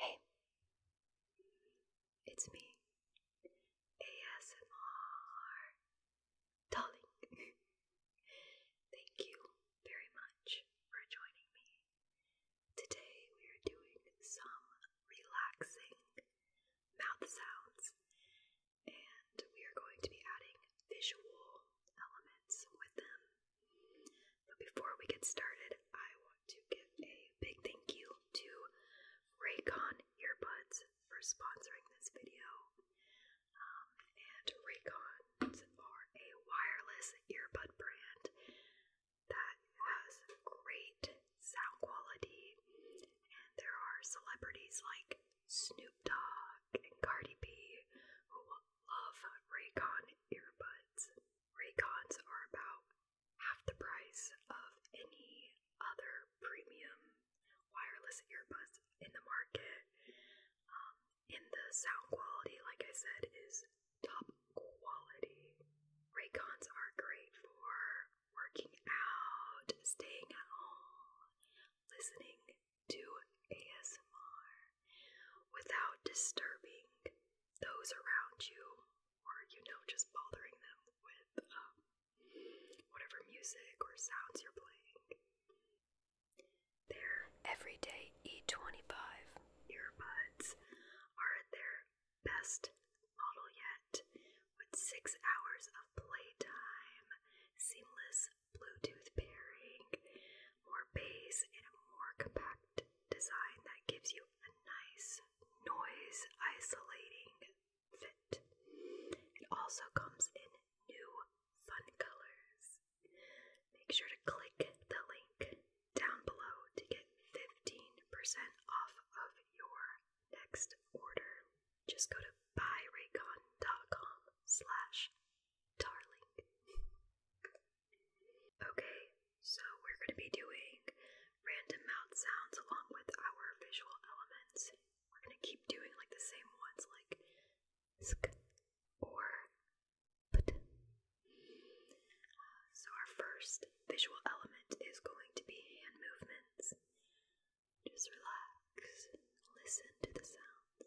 Hey, it's me, ASMR darling. Thank you very much for joining me. Today we are doing some relaxing mouth sounds, and we are going to be adding visual elements with them. But before we get started, I want to give a big thank you to Raycon Earbuds for sponsoring this video. Um, and Raycons are a wireless earbud brand that has great sound quality, and there are celebrities like Snoop Dogg and Cardi B who love Raycon earbuds. Raycons are about half the price of any other premium wireless earbuds in the market. In um, the sound quality, like I said, is top quality. Raycons are great for working out, staying at home, listening do ASMR without disturbing those around you or, you know, just bothering them with um, whatever music or sounds you're playing. Their everyday E25 earbuds are their best model yet, with six hours of playtime, seamless Bluetooth pairing, more bass, and a more compact design that gives you a nice noise isolating fit. It also comes in new fun colors. Make sure to click the link down below to get 15% off of your next order. Just go to buyraycon.com slash darling. okay, so we're going to be doing random mouth sounds along with our visual elements. We're going to keep doing like the same ones, like sk or put. so, our first visual element is going to be hand movements. Just relax, listen to the sounds.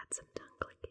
Add some tongue clicking.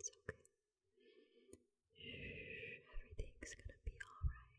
It's okay. Everything's gonna be alright.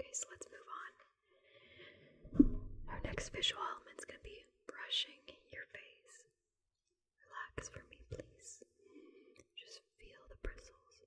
Okay, so let's move on. Our next visual element's going to be brushing your face. Relax for me, please. Just feel the bristles.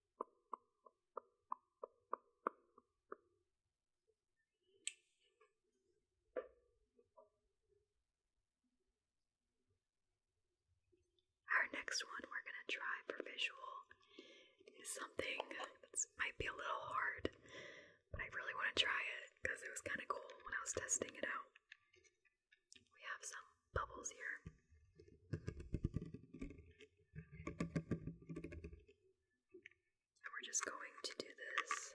Our next one we're going to try for visual is something that might be a little hard, but I really want to try it because it was kind of cool when I was testing it out. We have some bubbles here. And we're just going to do this.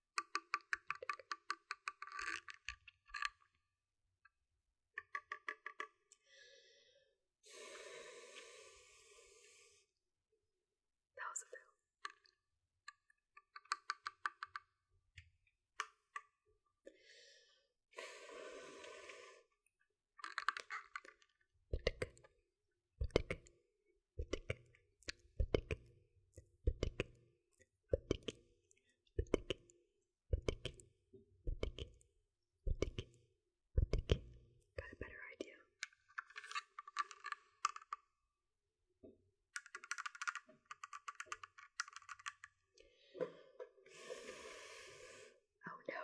That was a fail. Got a better idea. Oh no.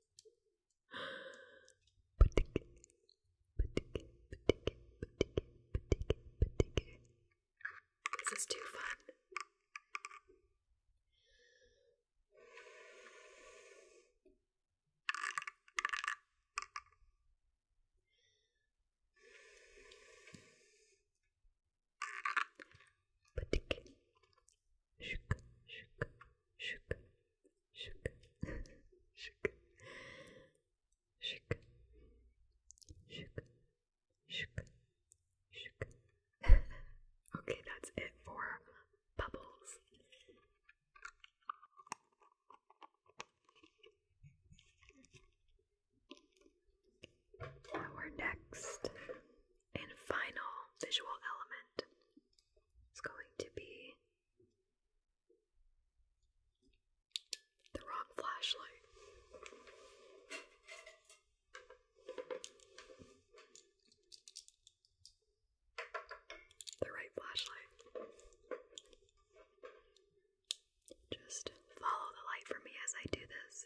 This is too fun shook, shook, shook, shook, shook, shook, shook, shook, shook. okay, that's it for bubbles. Our next and final visual element is going to be the wrong flashlight. The right flashlight. Just follow the light for me as I do this.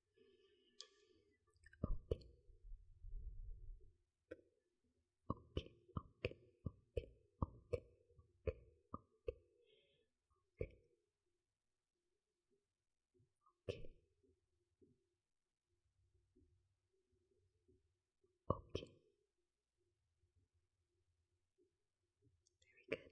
Okay. Okay, okay, okay, okay, okay, okay, okay. Okay. Very good.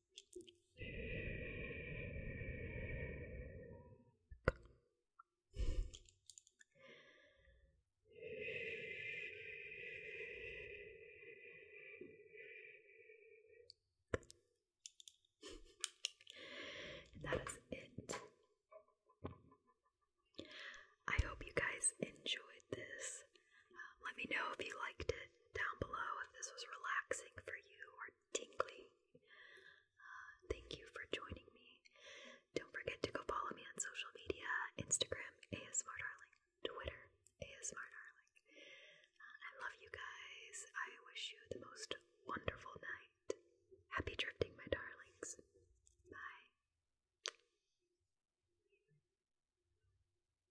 that is it. I hope you guys enjoyed this. Let me know if you liked it down below, if this was relaxing for you or tingly. Uh, thank you for joining me. Don't forget to go follow me on social media Instagram, ASMR Darling, Twitter, ASMR Darling. Uh, I love you guys. I wish you the most wonderful night. Happy drifting, my darlings. Bye.